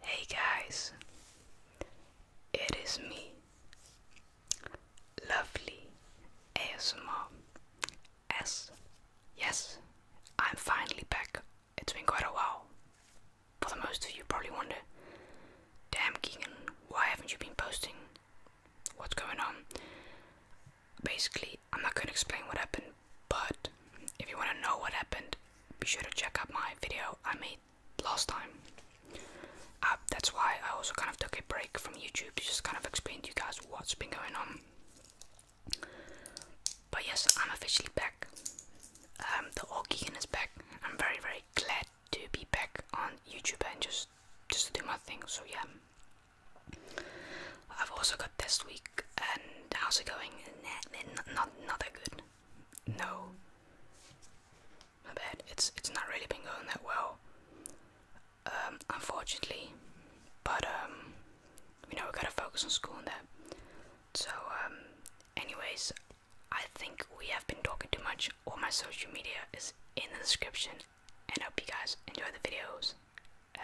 Hey guys, it is me, lovely ASMR. S, yes, I'm finally back. It's been quite a while. For the most of you, probably wonder, damn Keegan, why haven't you been posting? What's going on? Basically, I'm not gonna explain what happened, but if you wanna know what happened, be sure to check out my video I made last time. Uh, that's why I also kind of took a break from YouTube to just kind of explain to you guys what's been going on. But yes, I'm officially back. Um, the Orgegan is back. I'm very, very glad to be back on YouTube and just just to do my thing. So yeah, I've also got test week, and how's it going? not not that good. No, my bad. It's it's not really been going that well, um, unfortunately. But um, you know we gotta focus on school and that. So um, anyways, I think we have been talking too much. All my social media is in the description, and I hope you guys enjoy the videos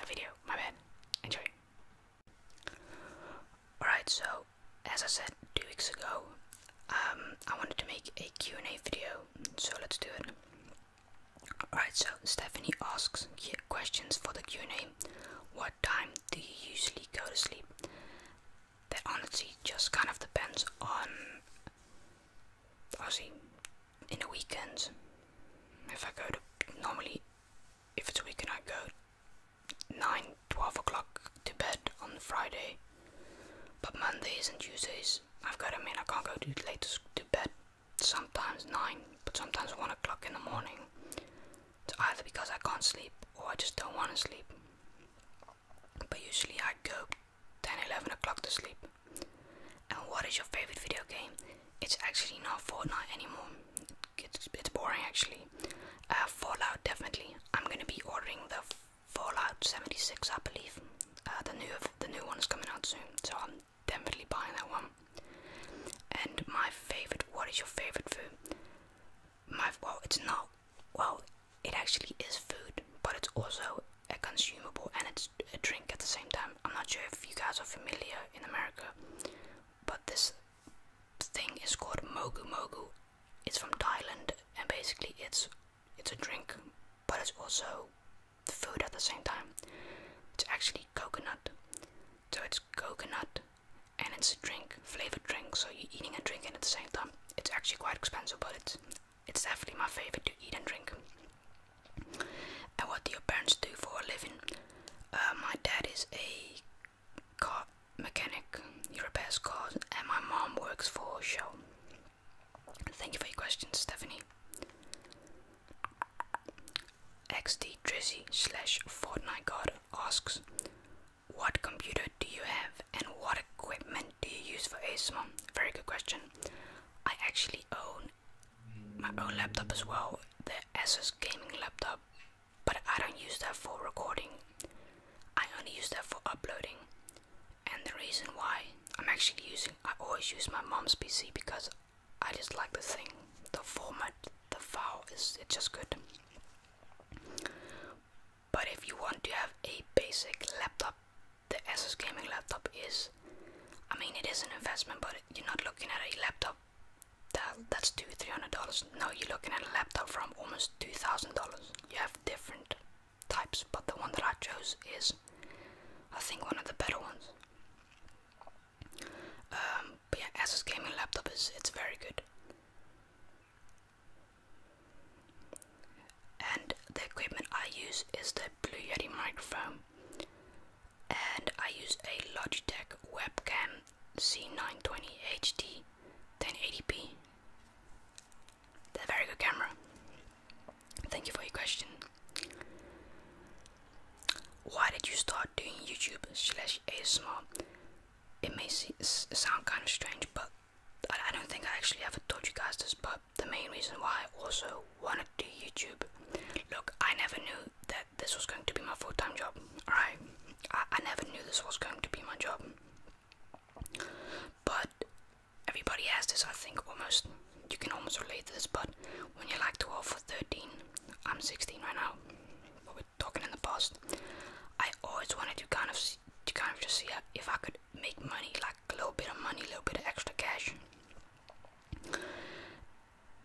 video. My bad. Enjoy. Alright, so as I said two weeks ago, um, I wanted to make a Q&A video, so let's do it. Alright, so Stephanie asks questions for the Q&A. What time do you usually go to sleep? That honestly just kind of depends on, obviously, in the weekends, If I go to normally, if it's a weekend, I go 9 12 o'clock to bed on Friday, but Mondays and Tuesdays, I've got I mean, I can't go too late to bed sometimes 9, but sometimes 1 o'clock in the morning. It's either because I can't sleep or I just don't want to sleep, but usually I go 10 11 o'clock to sleep. And what is your favorite video game? It's actually not Fortnite anymore. It's, it's boring actually. Uh, Fallout definitely. I'm gonna be ordering the Fallout 76, I believe. Uh, the new the new one is coming out soon, so I'm definitely buying that one. And my favorite. What is your favorite food? My well, it's not. Well, it actually is food, but it's also a consumable and it's a drink at the same time. I'm not sure if you guys are familiar in America, but this thing is called Mogu Mogu. It's from Thailand, and basically it's it's a drink, but it's also food at the same time. It's actually coconut, so it's coconut, and it's a drink, flavored drink. So you're eating and drinking at the same time. It's actually quite expensive, but it's it's definitely my favorite to eat and drink. And what do your parents do for a living? Uh, my dad is a car mechanic, he repairs cars, and my mom works for Shell. Thank you for your question, Stephanie. XD Drizzy slash Fortnite God asks, What computer do you have and what equipment do you use for ASMR? Very good question. I actually own my own laptop as well, the Asus gaming laptop, but I don't use that for recording. I only use that for uploading. And the reason why I'm actually using, I always use my mom's PC because I just like the thing, the format, the file is it's just good. But if you want to have a basic laptop, the Asus gaming laptop is I mean it is an investment, but you're not looking at a laptop that that's two three hundred dollars. No, you're looking at a laptop from almost two thousand dollars. You have different types, but the one that I chose is, I think, one of the better ones. Um, but yeah, Asus gaming laptop is it's very good. And the equipment I use is the Blue Yeti microphone and I use a Logitech webcam C920 HD 1080p. That's a very good camera. Thank you for your question. Why did you start doing YouTube slash ASMR? It may sound kind of strange, but I, don't think I actually ever told you guys this, but the main reason why I also wanted to do YouTube, look, I never knew that this was going to be my full time job. Alright, I, never knew this was going to be my job. But everybody has this, I think, almost. You can almost relate to this, but when you're like 12 or 13, I'm 16 right now, but we're talking in the past. I always wanted to kind of to kind of just see if I could make money, like a little bit of money, a little bit of extra cash.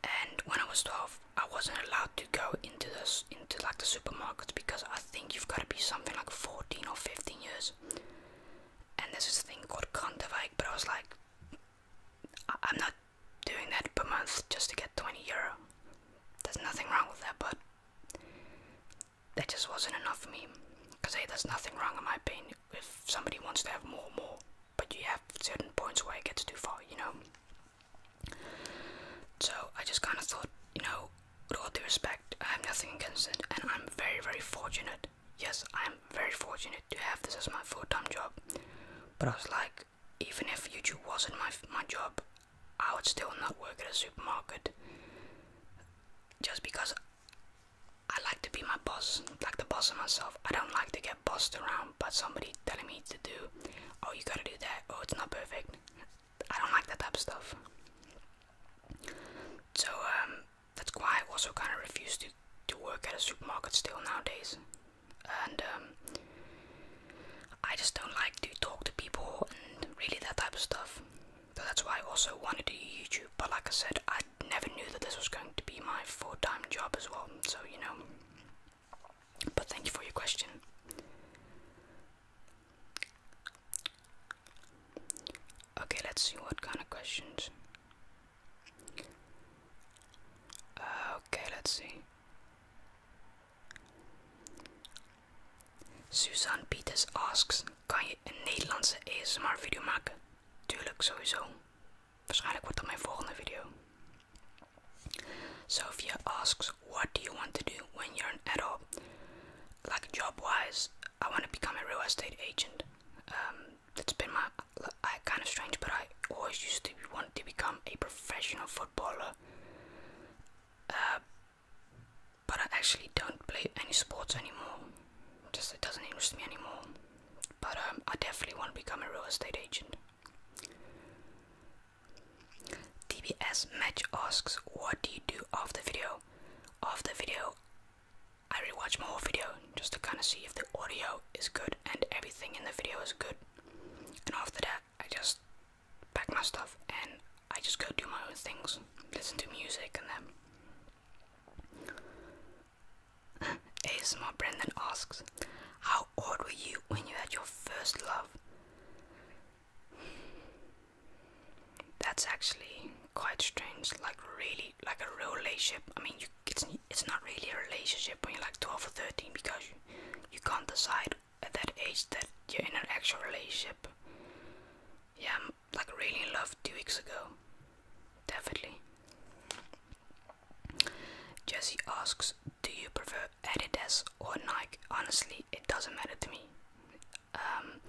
And when I was 12, I wasn't allowed to go into this into like the supermarkets because I think you've got to be something like 14 or 15 years. And this is a thing called Contavike, but I was like, I I'm not doing that per month just to get 20 euro. There's nothing wrong with that, but that just wasn't enough for me. Because hey, there's nothing wrong in my opinion. If somebody wants to have more, more but you have certain points where it gets too far, you know. So I just kind of thought, you know, with all due respect, I have nothing against it, and I'm very, very fortunate. Yes, I'm very fortunate to have this as my full-time job. But I was like, even if YouTube wasn't my my job, I would still not work at a supermarket. Just because I like to be my boss, like the boss of myself. I don't like to get get bossed around but somebody telling me to do, oh, you gotta do that, oh, it's not perfect. I don't like that type of stuff. So, um, that's why I also kind of refuse to, to work at a supermarket still nowadays. And, um, I just don't like to talk to people and really that type of stuff. So that's why I also wanted to do YouTube, but like I said, I never knew that this was going to be my full time job as well, so you know. But thank you for your question. Okay, let's see what kind of questions. okay, let's see. Suzanne Pieters asks: Kan je een Nederlandse ASMR video maken? Tuurlijk, sowieso. Waarschijnlijk wordt dat mijn volgende video. Sophia asks, What do you want to do when you're an adult? Like job wise, I want to become a real estate agent. Um, that's been my I, kind of strange, but I always used to want to become a professional footballer. Uh, but I actually don't play any sports anymore. Just it doesn't interest me anymore. But um, I definitely want to become a real estate agent. TBS Match asks, what do you do after video? After video, I rewatch my whole video just to kind of see if the audio is good and everything in the video is good. And after that, I just pack my stuff and I just go do my own things, listen to music and then ASMR Brendan asks, How old were you when you had your first love? That's actually quite strange, like really, like a real relationship. I mean, it's, it's not really a relationship when you're like 12 or 13 because you, you can't decide at that age that you're in an actual relationship. Yeah, I'm like really in love two weeks ago. Definitely. Jesse asks, Do you prefer Adidas or Nike? Honestly, it doesn't matter to me. Um,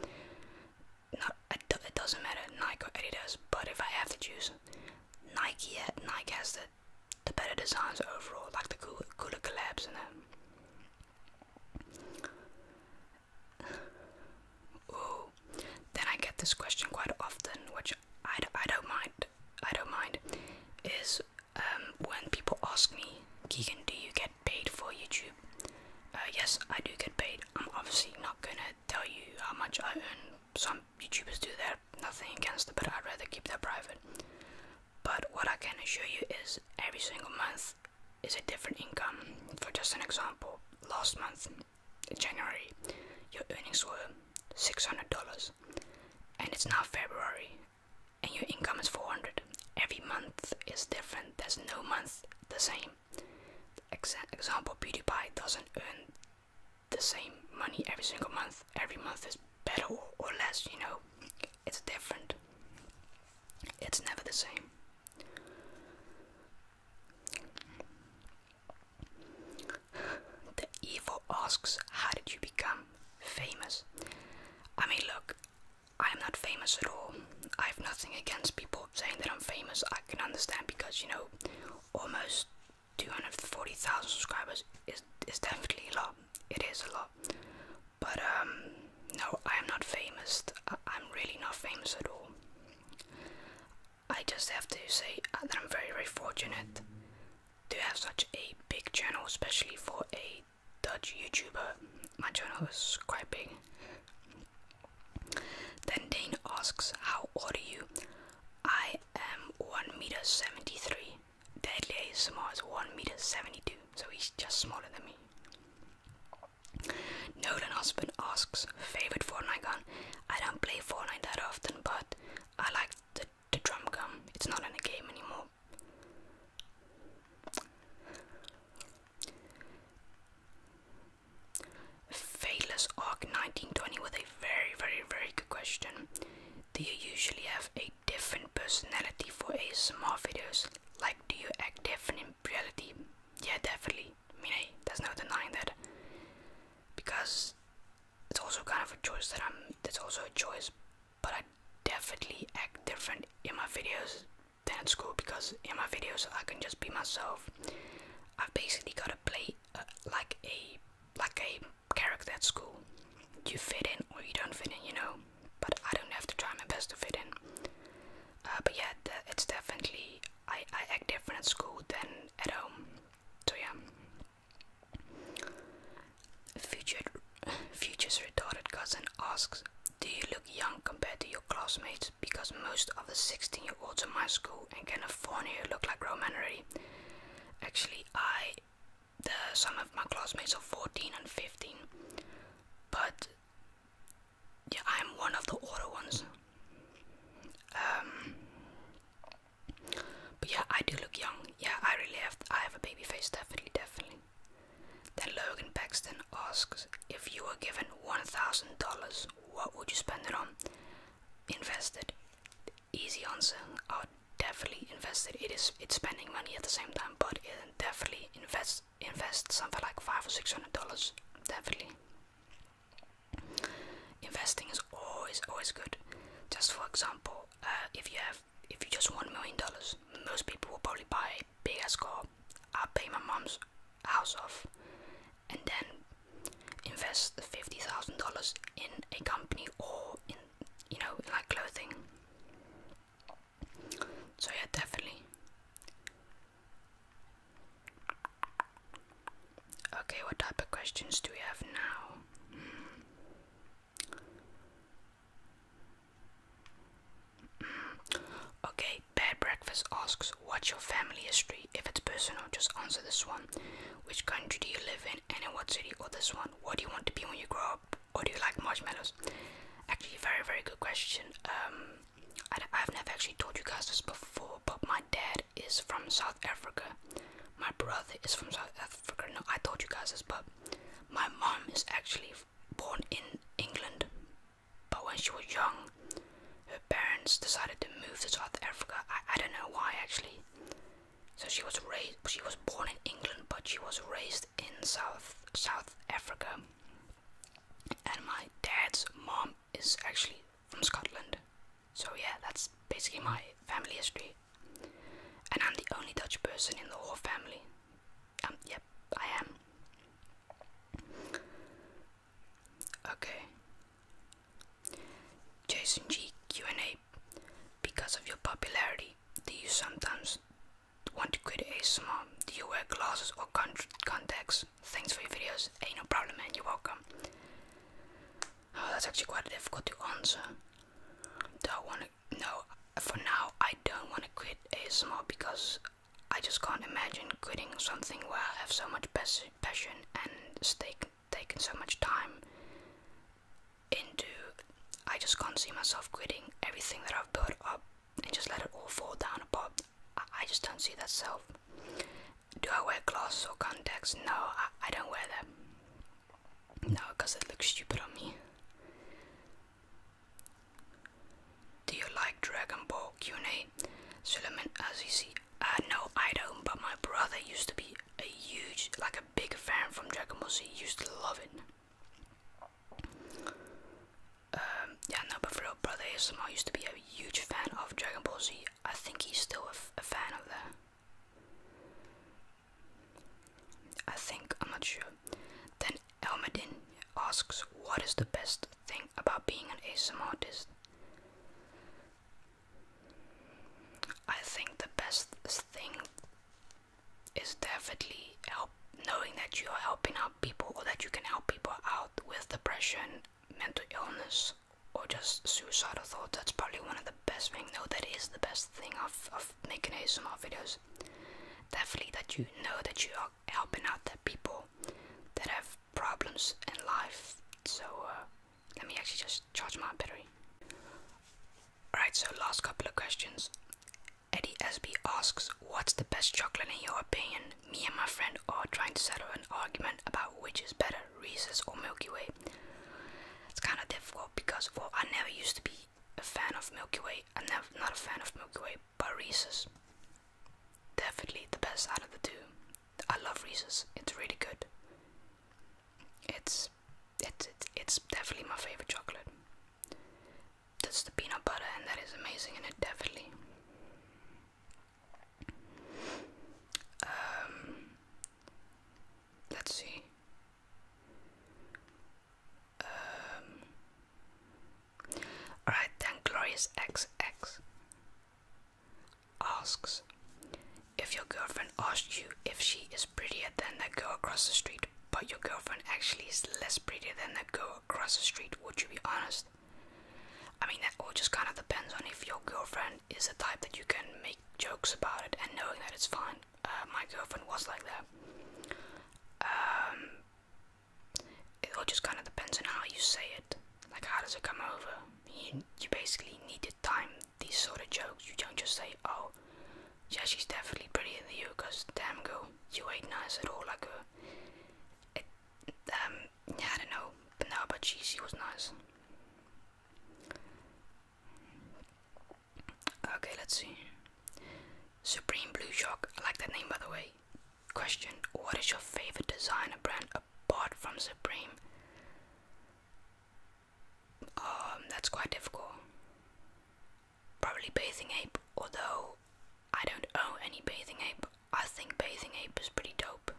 not, it, doesn't matter Nike or Adidas, but if I have to choose, Nike, yeah, Nike has the, the better designs overall, like the cool cooler collabs and that. Ooh. Then I get this question quite often, which I, I don't mind. I don't mind. Is um, when people ask me, Keegan, do you get paid for YouTube? Uh, yes, I do get paid. I'm obviously not gonna tell you how much I earn. Some YouTubers do that. Nothing against them, but I'd rather keep that private. But what I can assure you is, every single month is a different income. For just an example, last month, January, your earnings were $600 and it's now February and your income is 400 every month is different there's no month the same Ex example PewDiePie doesn't earn the same money every single month every month is better or less you know it's different it's never the same the evil asks, How did you become famous? I mean, look, I'm not famous at all. I have nothing against people saying that I'm famous. I can understand because, you know, almost 240,000 subscribers is, is definitely a lot. It is a lot. But, um, no, I'm not famous. I'm really not famous at all. I just have to say that I'm very, very fortunate to have such a big channel, especially for a Dutch YouTuber. My channel is quite big. Then Dane asks, How old are you? I am 1 meter 73. Deadly ASMR is 1 meter 72, so he's just smaller than me. Nolan Husband asks, favorite Fortnite gun? I don't play Fortnite that often, but I like the the drum gum It's not in the game anymore. Phaelus Arc 1920 with a very, very, very good question. Do you usually have a different personality for ASMR videos? Like, do you act different in reality? Yeah, definitely. I mean, there's no denying that. Because it's also kind of a choice that I'm It's also a choice but I definitely act different in my videos than at school because in my videos I can just be myself I've basically got to play uh, like a like a character at school you fit in or you don't fit in you know but I don't have to try my best to fit in uh, but yeah it's definitely I, I act different at school than at home so yeah Future, Future's retarded cousin asks, Do you look young compared to your classmates? Because most of the 16 year olds in my school in California look like grown men already. Actually, I, the, some of my classmates are 14 and 15, but yeah, I'm one of the older ones. Um, but yeah, I do look young. Yeah, I really have I have a baby face, definitely, definitely. Then Logan Paxton asks, if you were given one thousand dollars, what would you spend it on? Invested. Easy answer. I would definitely invest it. It is it's spending money at the same time, but it definitely invest invest something like five or six hundred dollars. Definitely. Investing is always always good. Just for example, uh, if you have if you just million dollars, most people will probably buy a bigger ass car. I'll pay my mom's house off and then invest the fifty thousand dollars in a company or in you know like clothing. So yeah, definitely. Okay, what type of questions do we have now? Hmm. Okay, Bad Breakfast asks, What's your family history? If it's personal, just answer this one. Which country do you live in, and in what city? Or this one, What do you want to be when you grow up? Or do you like marshmallows? Actually, very, very good question. Um, I've never actually told you guys this before, but my dad is from South Africa, my brother is from South Africa. No, I told you guys this, but my mom is actually born in England. But when she was young, her parents decided to move to South Africa. I, I don't know why actually. So she was raised. She was born in England, but she was raised in South South Africa. And my dad's mom is actually from Scotland. So yeah, that's basically my family history. And I'm the only Dutch person in the whole family. Um, yep, I am. Okay. Jason G Q&A. Because of your popularity, do you sometimes want to quit ASMR? Do you wear glasses or con contacts? Thanks for your videos. Hey, no problem, man. You're welcome. Oh, that's actually quite difficult to answer don't want to no for now I don't want to quit ASMR because I just can't imagine quitting something where I have so much passion and stake taken so much time into I just can't see myself quitting everything that I've built up and just let it all fall down apart. I, just don't see that self. Do I wear glasses or contacts? No, I don't wear them. No, because it looks stupid on me. Do you like Dragon Ball Q&A? Suleiman Azizi. Uh, no, I don't, but my brother used to be a huge, like a big fan from Dragon Ball Z. He used to love it. Um, yeah, no, but for real, brother ASMR used to be a huge fan of Dragon Ball Z. I think he's still a, a fan of that. I think, I'm not sure. Then Elmadin asks, What is the best thing about being an ASMR artist? I think the best thing is definitely help knowing that you are helping out people or that you can help people out with depression, mental illness, or just suicidal thoughts. That's probably one of the best thing. know that is the best thing of, of making small videos. Definitely that you know that you are helping out the people that have problems in life. So uh, let me actually just charge my battery. Alright, so last couple of questions. Eddie SB asks, What's the best chocolate in your opinion? Me and my friend are trying to settle an argument about which is better, Reese's or Milky Way. It's kind of difficult because well I never used to be a fan of Milky Way. I'm never, not a fan of Milky Way, but Reese's definitely the best out of the two. I love Reese's. It's really good. It's it's it's, definitely my favorite chocolate. That's the peanut butter, and that is amazing, and it definitely. Um, Let's see. Um, Alright, then Glorious XX asks if your girlfriend asked you if she is prettier than the girl across the street, but your girlfriend actually is less prettier than the girl across the street, would you be honest? I mean, that all just kind of depends on if your girlfriend is the type that you can make jokes about it and knowing that it's fine uh, my girlfriend was like that. Um, it all just kind of depends on how you say it. Like, how does it come over? You, you basically need to time these sort of jokes. You don't just say, oh, yeah, she's definitely prettier than you, because damn girl, you ain't nice at all like her. Uh, um, I don't know, but no, but she was nice. Okay, let's see. Supreme Blue Shark. I like that name, by the way. Question: What is your favorite designer brand apart from Supreme? Um, that's quite difficult. Probably Bathing Ape, although I don't own any Bathing Ape. I think Bathing Ape is pretty dope.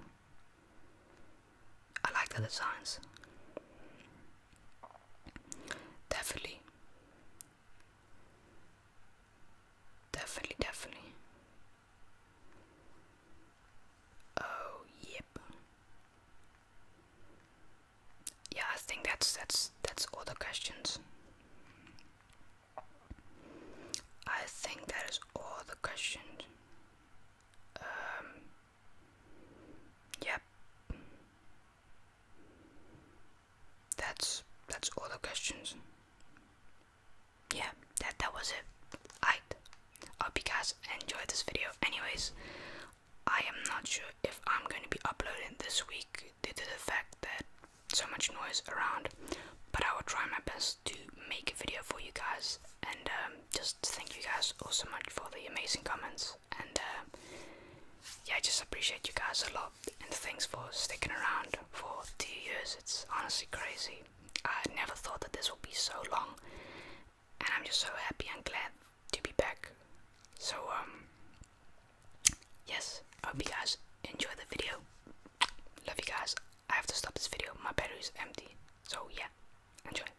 I like the designs. Definitely. Definitely, definitely. Oh, yep. Yeah, I think that's that's that's all the questions. I think that is all the questions. Um Yep. That's that's all the questions. Yeah, that that was it. I hope you guys enjoyed this video. Anyways, I am not sure if I'm going to be uploading this week due to the fact that so much noise around, but I will try my best to make a video for you guys and um, just Thank you guys all so much for the amazing comments, and um, yeah, I just appreciate you guys a lot. And thanks for sticking around for two years. It's honestly crazy. I never thought that this would be so long, and I'm just so happy and glad to be back. So um, yes, I hope you guys enjoy the video. Love you guys. I have to stop this video. My battery is empty. So yeah, enjoy.